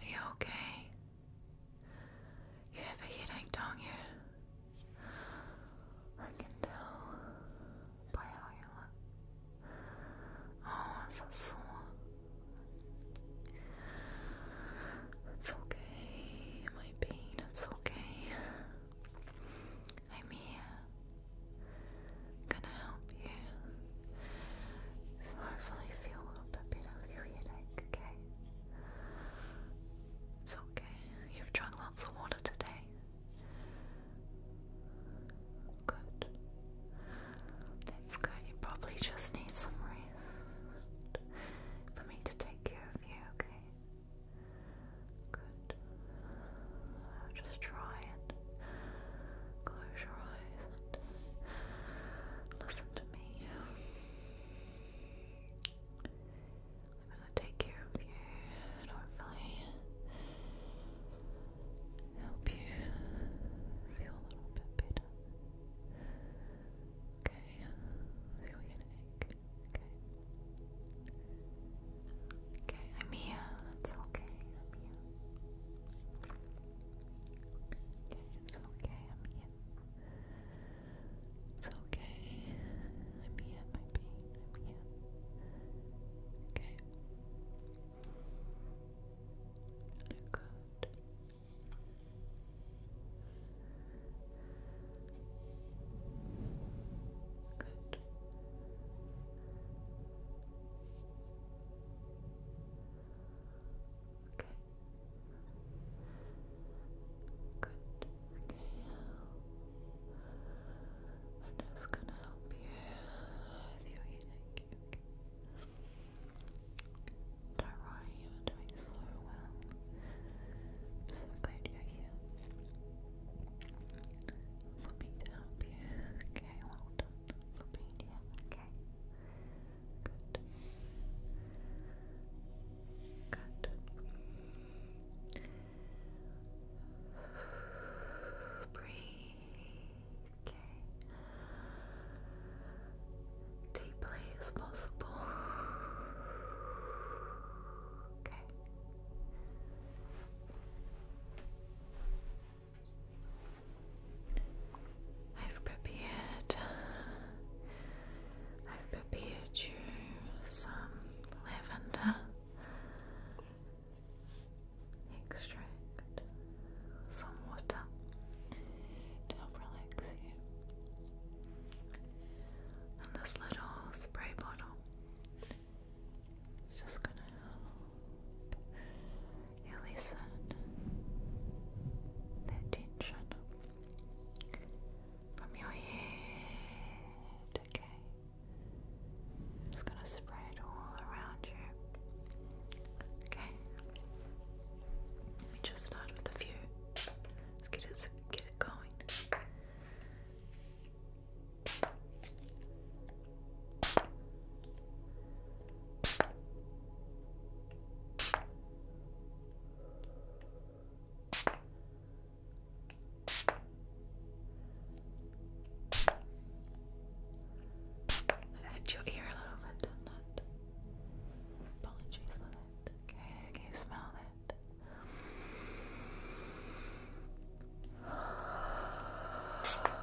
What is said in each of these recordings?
Are you okay? You have a headache, don't you? I can tell by how you look. Oh, it's so sore. It's okay, my pain, it's okay. I'm here gonna help you hopefully feel a little bit better with your headache, okay? It's okay. You've drunk lots of water today. Good. That's good. You probably just need some rest for me to take care of you, okay? Good. Just try and close your eyes and listen to me. I'm gonna take care of you and hopefully help you feel a little bit better. Okay, feel your neck. Okay. Okay, I'm here. It's okay. I'm here. Okay, it's okay, I'm here. It's okay. I'm here, my I'm here. Okay. Good. Good. Okay. Good. Okay. I'm just gonna help you with your headache. Okay. Don't worry, you're doing so well. so glad you're here. For me help you. Okay, well done okay. Good. Good. Breathe, okay. Deeply as possible. Okay. I've prepared. I've prepared you some lavender extract, some water to help relax you, and this little spray bottle it's just gonna help you listen from your head, okay? just gonna spray all around you. Okay. Let me just start with a few. Let's get it, get it going. Hit your ear a little bit, Apologies for that. Okay, can you smell that?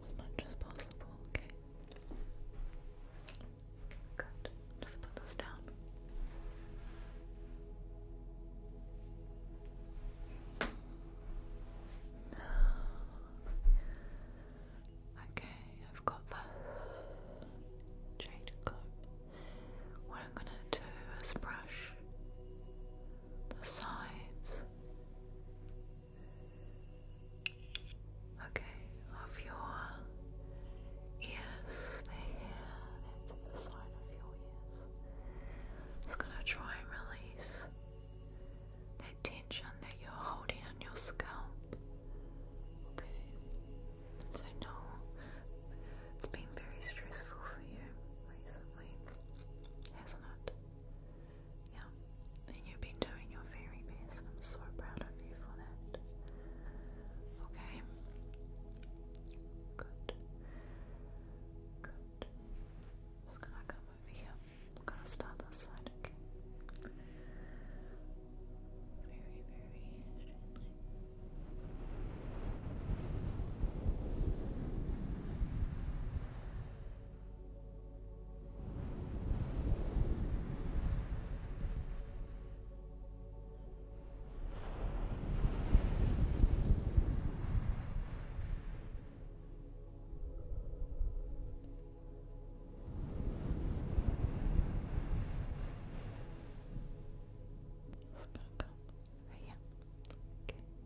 as much as possible, okay? Good. Just put this down. Okay, I've got this jade comb. What I'm gonna do is brush the sides Okay, of your ears, they hear into the side of your ears. It's gonna try and release that tension that you're holding on your scalp. Okay, so no, it's been very stressful for you recently, hasn't it? Yeah, and you've been doing your very best, and I'm so proud of you for that. Okay? Good. Good. just gonna come over here. I'm gonna start this side, okay? Very, very gently. It's gonna come right here. Okay. Just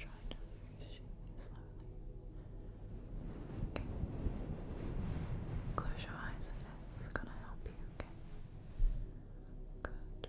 try to push slowly. Okay. Close your eyes and it's gonna help you, okay? Good. Good.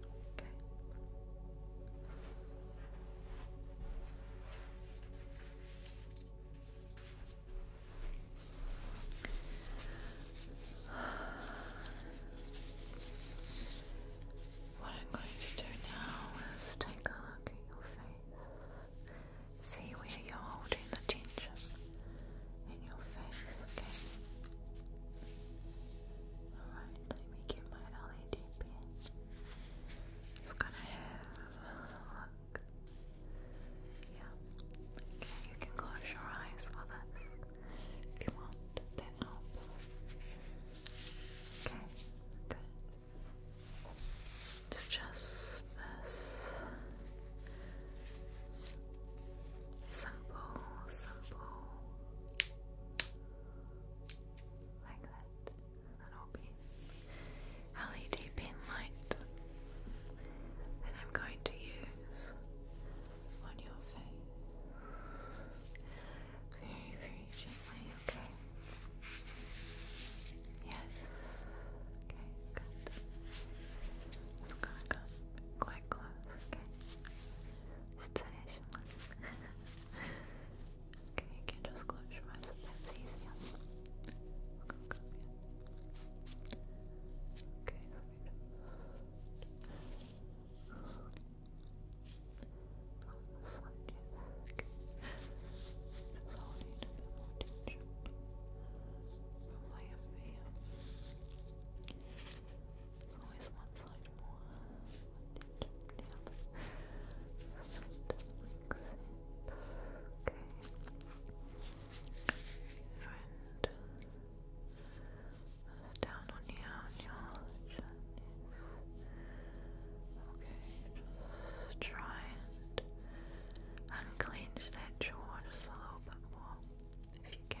Okay. What I'm going to do now is take a look at your face. See where you're holding the tension in your face, okay? Alright. Let me get my LED pin. It's gonna have a look. Yeah. Okay, you can close your eyes for this if you want. That helps. Okay, good. just this simple, simple like that. An OP LED pin light. Then I'm going to use on your face. Very, very gently, okay? Yes. Okay, good. It's going quite close, okay? 失礼します。okay, you can just close your eyes if that's easier. Come, come Okay, just from the a bit more tension from my over here. always one like one digit the other. So just like Okay. And down on your on Okay, just try and unclench that jaw just a little bit more if you can.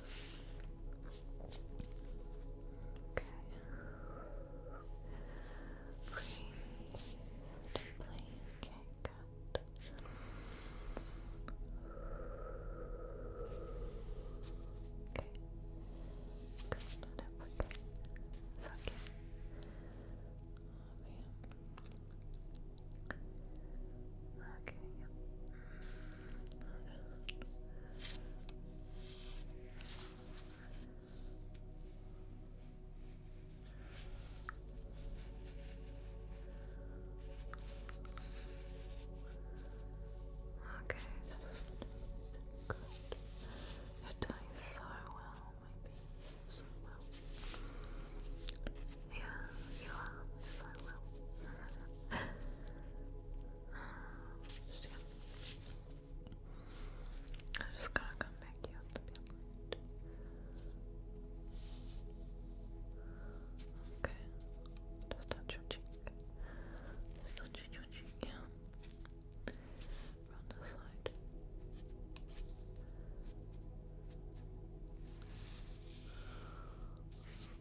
Okay. Breathe Okay, good. Okay. Good, okay. okay. Okay, You're doing so well, my baby. Yeah, you are so well. I'm just gonna come back here to be light. Okay, just touch your cheek. Just touching your yeah. Around the side.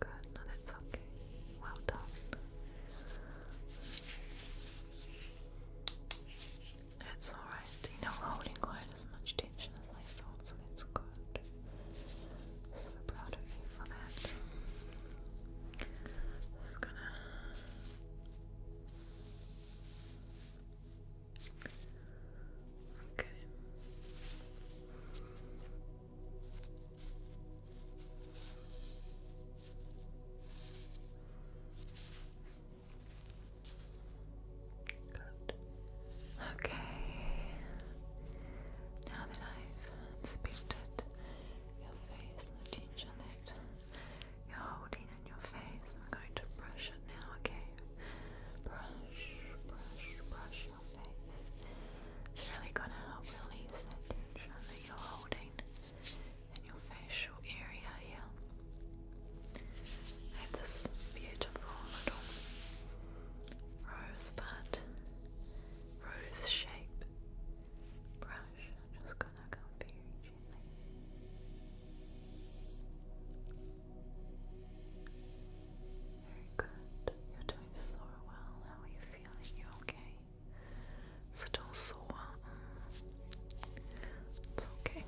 Good, no, that's okay. Well done. That's alright. You know, holding quite as much tension as I thought, so that's good. So proud of you for that. Just gonna. Okay. Okay. Now that I've inspected your face the tension that you're holding in your face, I'm going to brush it now, okay? Brush, brush, brush it's really going to help release that tension that you're holding in your facial area here. I have this beautiful little rosebud, rose shape brush. I'm just going to come very gently. Very good. You're doing so well. How are you feeling? You okay? Still sore? Mm. It's okay.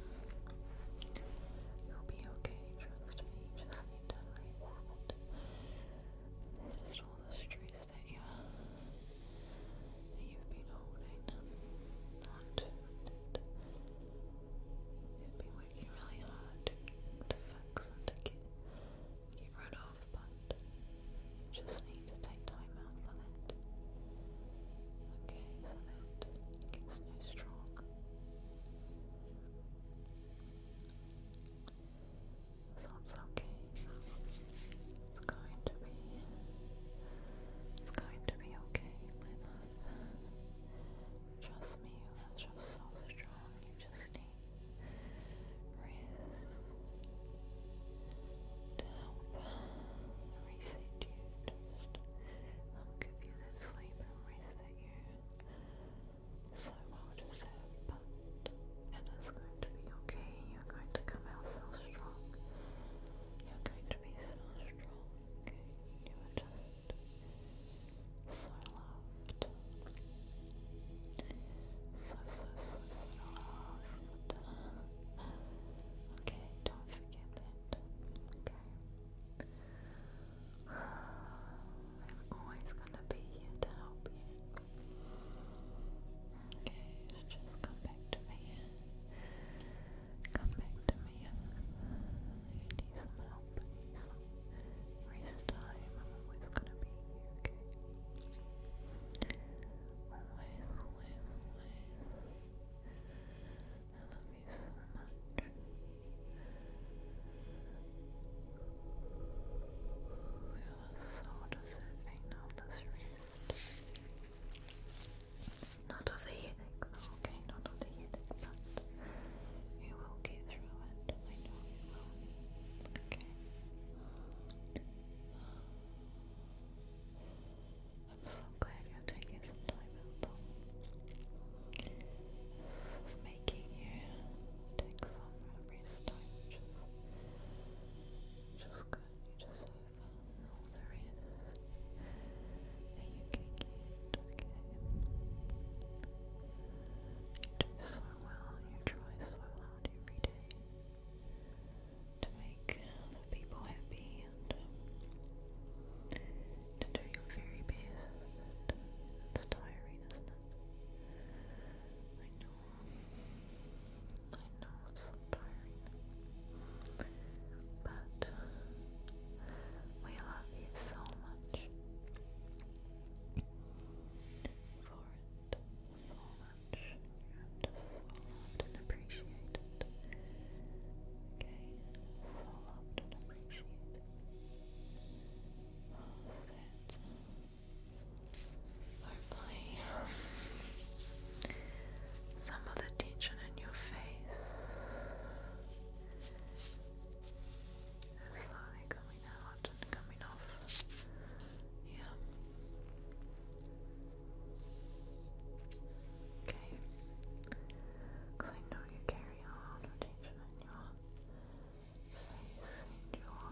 You'll be okay, trust me. just need to rest. It's just all the stress that you have been holding onto You've been working really hard to, fix and you run off, but just need to take time out for that. Okay, so that gets no strong. That's okay. It's going to be it's going to be okay, my love. Trust me, you are just so strong. You just need wrist help reset you, just um, give you that sleep and rest that you so well deserve, but it is going to be okay, you're going to come out so strong, you're going to be so strong, okay? you are just so, so, so, so loved. Okay, don't forget that. Okay. I'm always gonna be here to help you. Okay, just come back to me. Come back to me. need some help. Need some Race time, I'm always gonna be here, okay? Always, always, always. I love you so much. You are so deserving of this Not of the headache okay? Not of the headache, but you will get through it. I know you will. Okay. I'm so glad you're taking some time out This is making you take some rest time, which just good. You just have all the rest that you can get, okay? You do so well, you try so hard out to make people happy and to do your very best. It's tiring, isn't it? I know. I know it's tiring. But we love you so much for it so much. You so loved and appreciated. Okay, so loved and appreciated. What was Some of the tension in your face is slowly coming out not coming off. Yeah. Okay. Because I know you carry a lot of tension in your face and your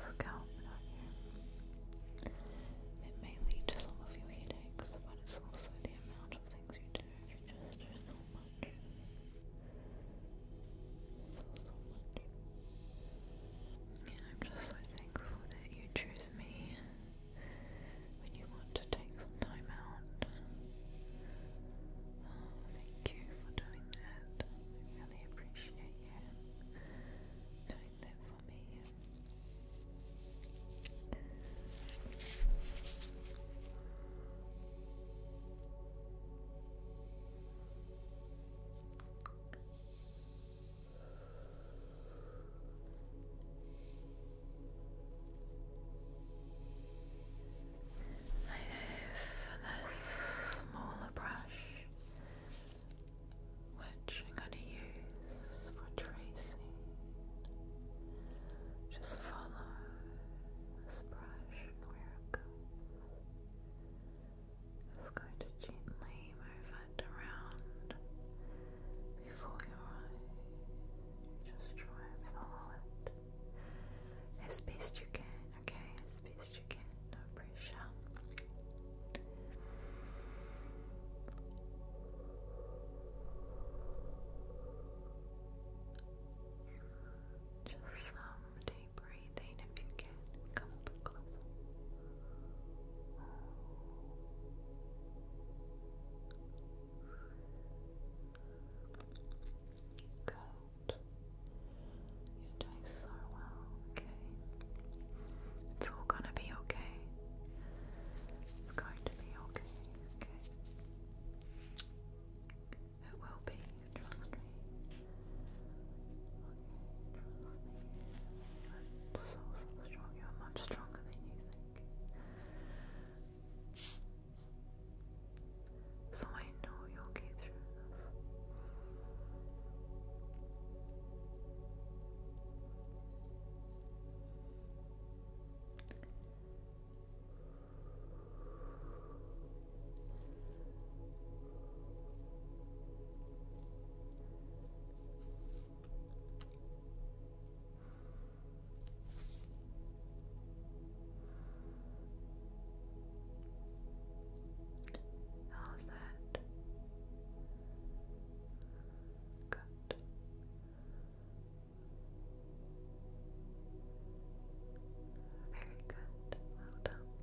scalp down It may lead to some of your headaches, but it's also the amount of things you do. If you just do so much, I'm just so thankful that you choose me when you want to take some time out. Oh, thank you for doing that. I really appreciate you doing that for me. I have this smaller brush which I'm going to use for tracing. Just follow this brush and where it goes. Just going to gently move around before your eyes. Just try and follow it as best you can, okay? As best you can, no pressure. Just some um, deep breathing if you can. Come a bit closer. Good. Your dice are well, okay. It's all gonna be okay. It's going to be okay, okay. It will be, trust me. trust me. You're so, so strong. You're much stronger than you think. So I know you'll get through this. How's that? Good. Very good. Well done.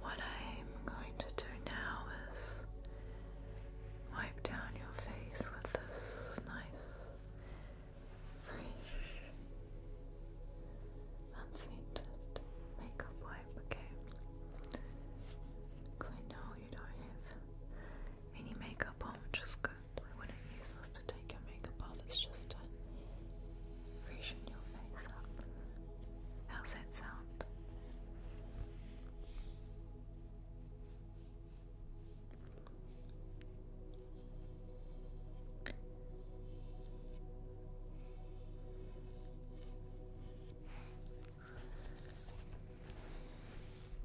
What I'm going to do now is wipe down your face with this nice, fresh, unscented makeup wipe, okay? Because I know you don't have mini makeup on, just is good. I wouldn't use this to take your makeup off, it's just to freshen your face up. How's that sound? It's coming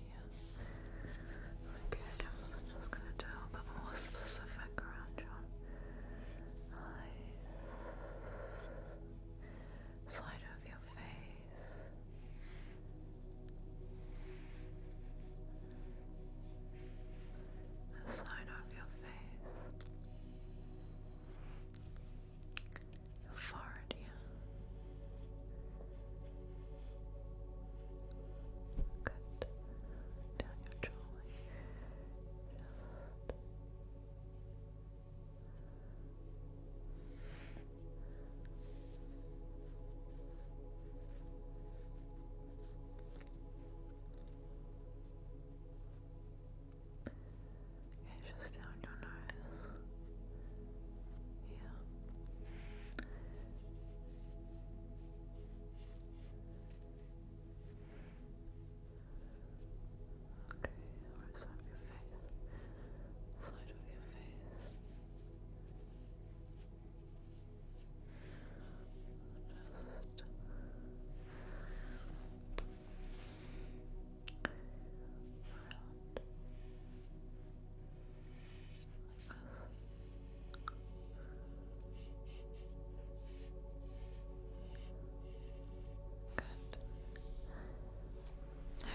in Okay, I'm just gonna do a bit more specific around your eyes, side of your face. The side of your face, your forehead, yeah. Good. Down your jawline. just down your nose. Yeah. Okay, right side your face. Side of your face. Just Around.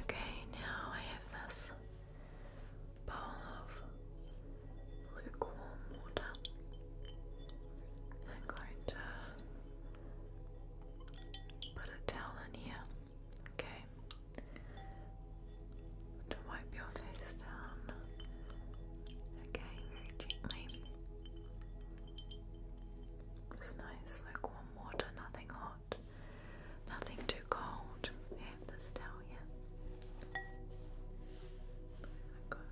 Okay, now I have this bowl of lukewarm water. I'm going to put a towel in here. Okay to wipe your face down. Okay, very gently. It's nice, like water, nothing hot, nothing too cold. Yeah, this towel, yeah. There it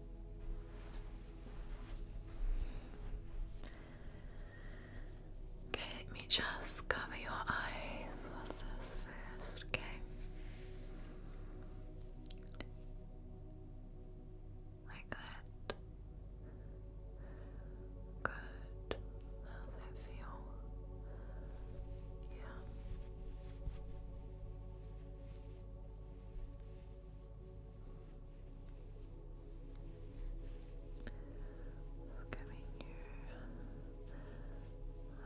Okay, let me just cover your eyes with this first, okay? Like that. Good. How does that feel? Yeah. Just giving you a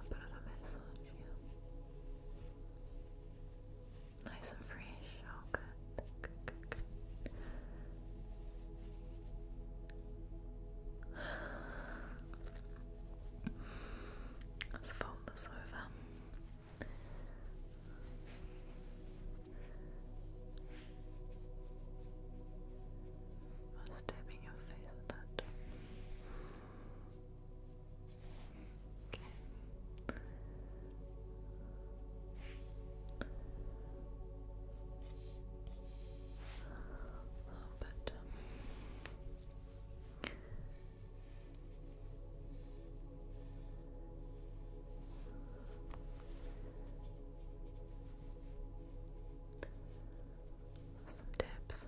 bit of Nice and fresh. Oh, good. Let's fold this over. I'm stabbing your face with that. Okay. A little bit. Some tips.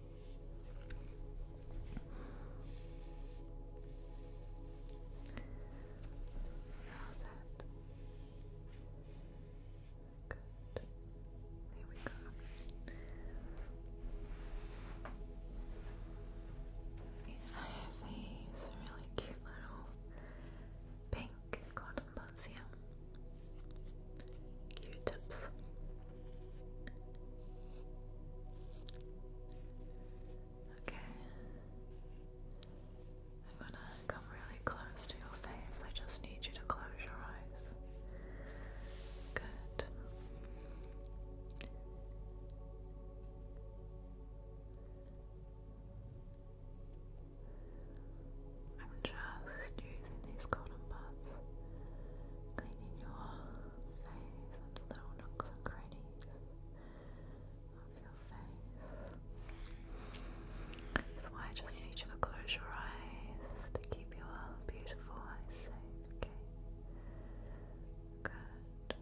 How's that? I have these really cute little pink cotton buds here. Q-tips. Okay. I'm gonna come really close to your face. I just need you to close your eyes. Good. I'm just using these cotton buds, cleaning your that's why I just need you to close your eyes to keep your beautiful eyes safe, okay? Good.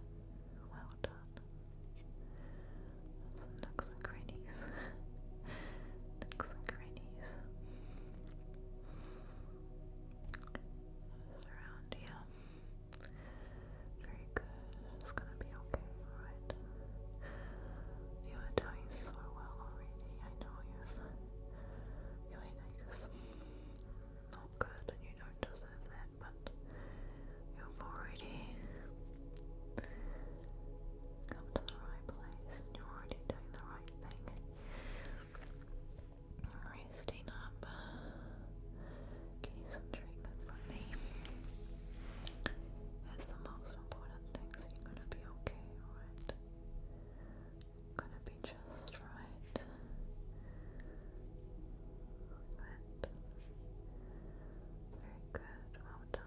Well done. Some nooks and crannies. nooks and crannies. Around here. Very good. It's gonna be okay, right? You are doing so well already. I know you've your not oh, good and you don't deserve that, but you've already come to the right place and you're already doing the right thing. Resting up. Getting some treatment from me. That's the most important thing, so you're gonna be okay, alright? Gonna be just right. Right. Very good, well done.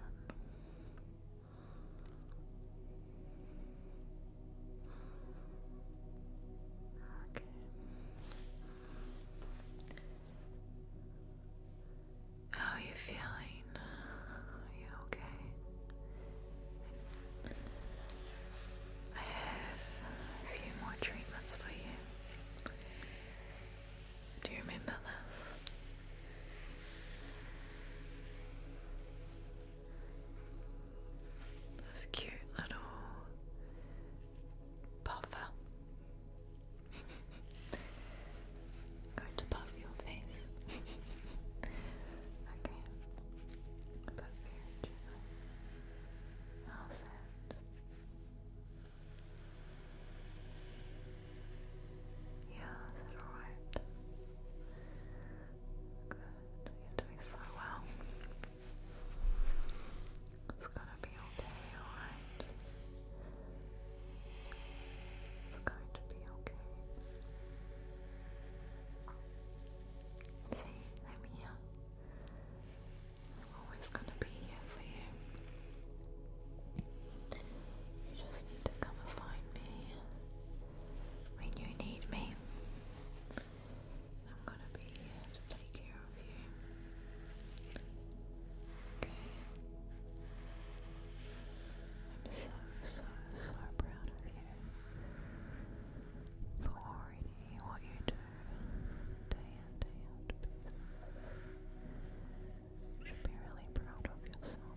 How are you feeling? Are you okay? I have a few more treatments for you. Do you remember this? This cute little puffer. Going to puff your face. okay. But very gently. How's that? Yeah, Good, you're doing so well. It's gonna be okay, alright? It's going to be okay. See, I'm here. I'm always gonna be here for you. You just need to come and find me when you need me. I'm gonna be here to take care of you. Okay. I'm so, so, so proud of you for already what you do day in, day out. You should be really proud of yourself.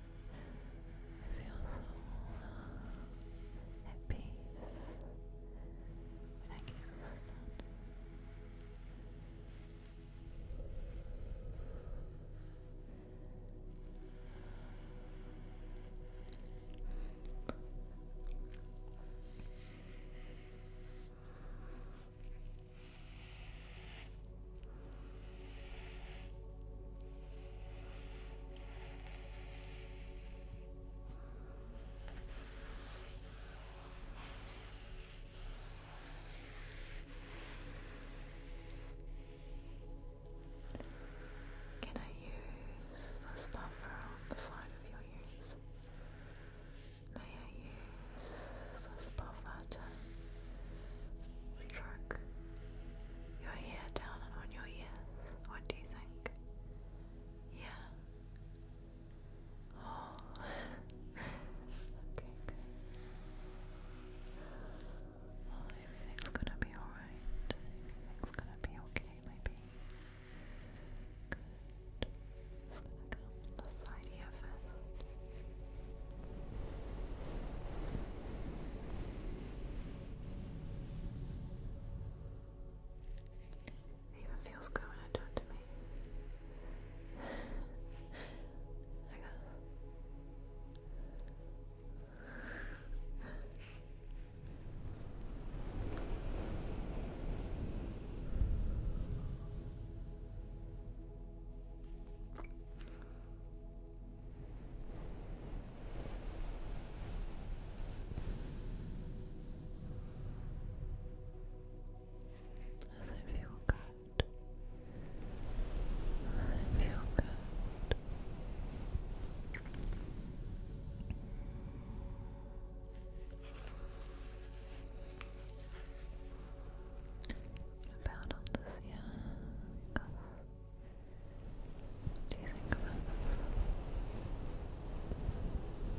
feel so at when I can listen can I use this buffer on the side of your ears? May I use this buffer to stroke your hair down and on your ears. What do you think? Yeah. Oh. okay, oh, everything's gonna be alright. Everything's gonna be okay, maybe. Good. gonna come on the side here first. It even feels good when I do it to me. I got does it feel good? Does feel good? About on the sea, do you think about this?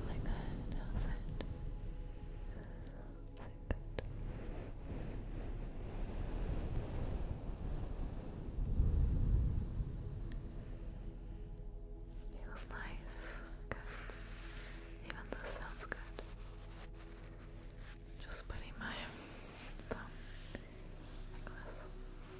Like that, that? Is good? Feels nice, good. Even this sounds good. Just putting my thumb like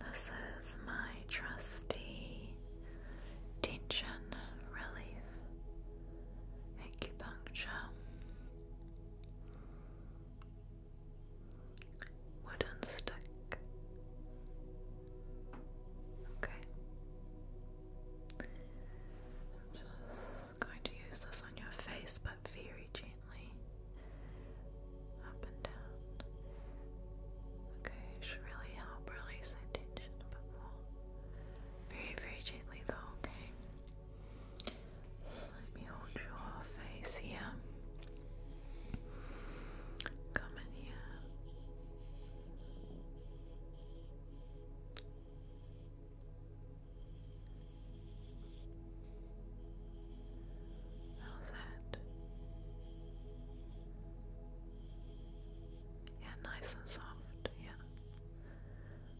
This is my trusty tension relief acupuncture wooden stick. Okay. I'm just going to use this on your face, but very gently. Up and down. Okay, it should really help release that tension a bit more. Very, very gently though, okay? let me hold your face here. Come in here. How's that? Yeah, nice and soft, yeah.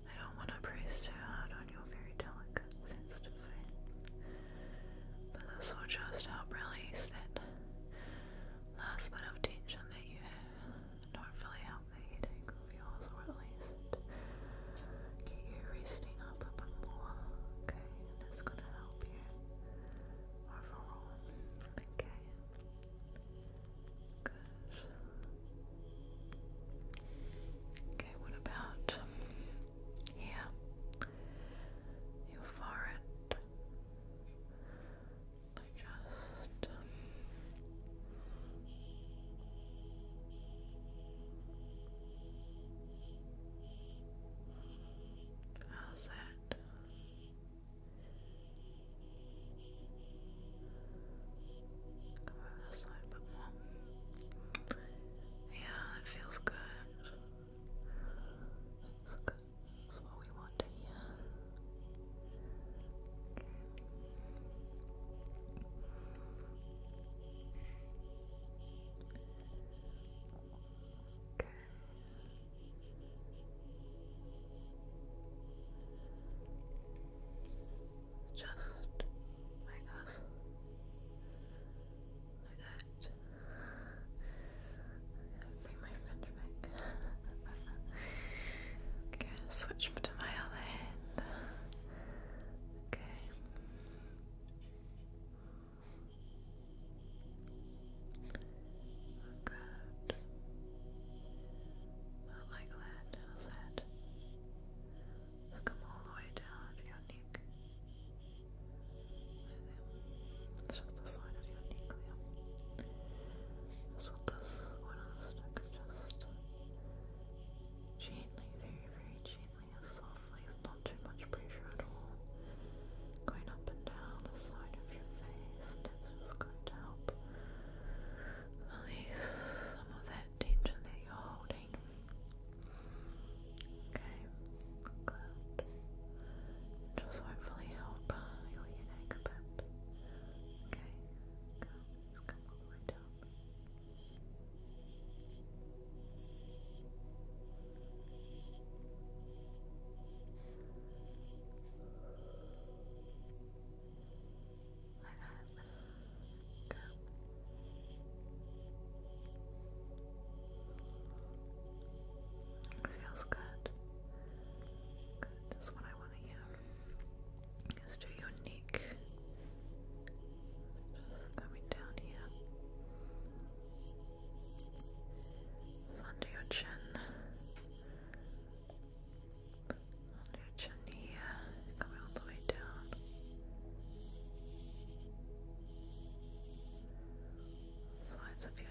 I don't want to press too hard on your very delicate, sensitive face but this will just help release that last bit of tension that you have and hopefully help the headache of yours or get you resting up a bit more, okay, that's going to help you overall, okay, good. Okay, what about yeah. Your forehead. just um, How's that? Go over this side bit more. Yeah, it feels good. That's good. That's what we want to hear. Okay. Just like us. Like that. Bring my friend back. okay, switch to my other hand. Okay. Good. Not like that, how's that? let all the way down to your neck. It's just a sign of your nuclear. That's one on a stick gently, very, very gently and softly, not too much pressure at all. Going up and down the side of your face. That's just going to help release some of that tension that you're holding. Okay, good. Just hopefully help uh, your headache a Okay, go. come all the way down. Like Go feels good. Good is what I want to hear. It's too unique. Just coming down here. under your chin. Under your chin here. Coming all the way down. Sides of your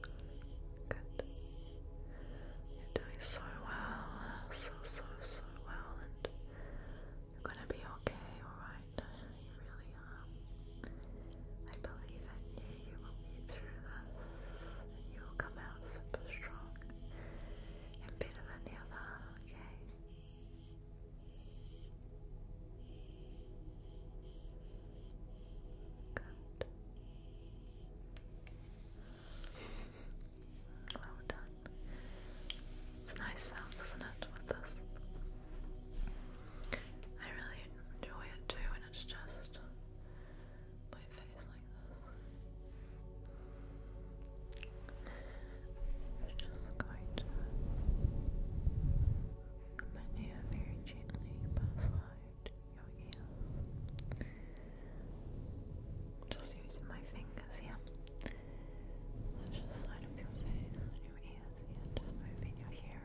Good. You're doing so well, so, so, so well, and you're gonna be okay, alright? You really are. Um, I believe in you, you will get through this, and you will come out super strong and better than ever, okay? Well done. It's a nice sound, isn't it, with this? I really enjoy it too when it's just my face like this i just going to menu very gently beside your ears. Just using my fingers here. just the side your face and your ears here, just moving your hair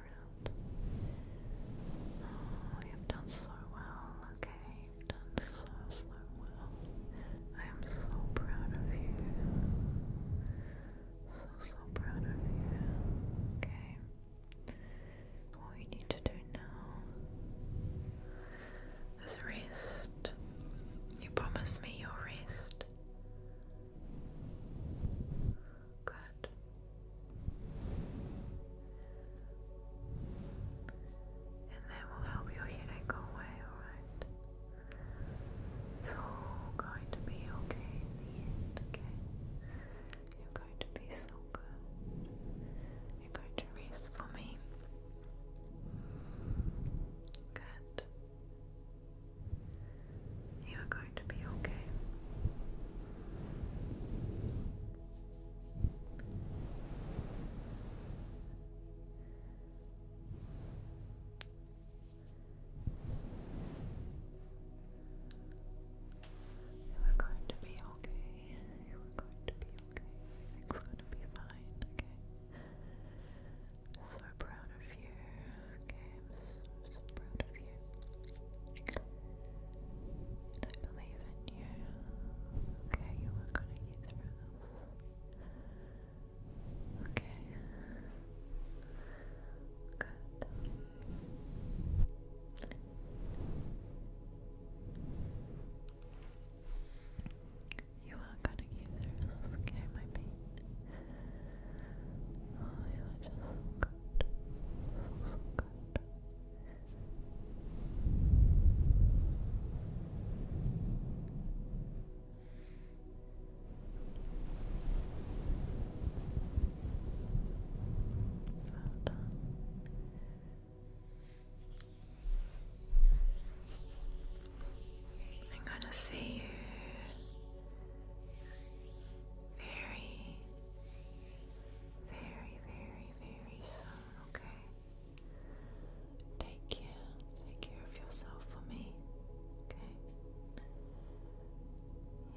you've done so well, okay? You've done so, so well. I am so proud of you. So, so proud of you. Okay. What we need to do now is rest. You promised me your rest. Good. And that will help your headache go away, alright? It's going to be okay in the end, okay? You're going to be so good. You're going to rest for me. Good. You are going to be okay. You're going to be okay. You're going to be okay. Everything's going to be fine, okay? So proud of you, okay? so, proud of you. I believe in you. Okay, you are going to get through this. Okay. Good. You are gonna get this game, I mean. Oh, you are just so good. So, so good. Hold I'm gonna see you very, very, very, very soon, okay? Take care. Take care of yourself for me. Okay?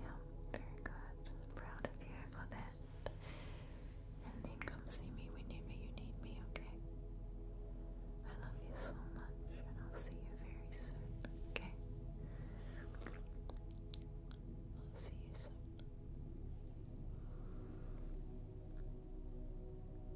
Yeah, very good. I'm proud of you for that. And then come see me whenever you need me, okay? I love you so much, and I'll see you very soon, okay? I'll see you soon.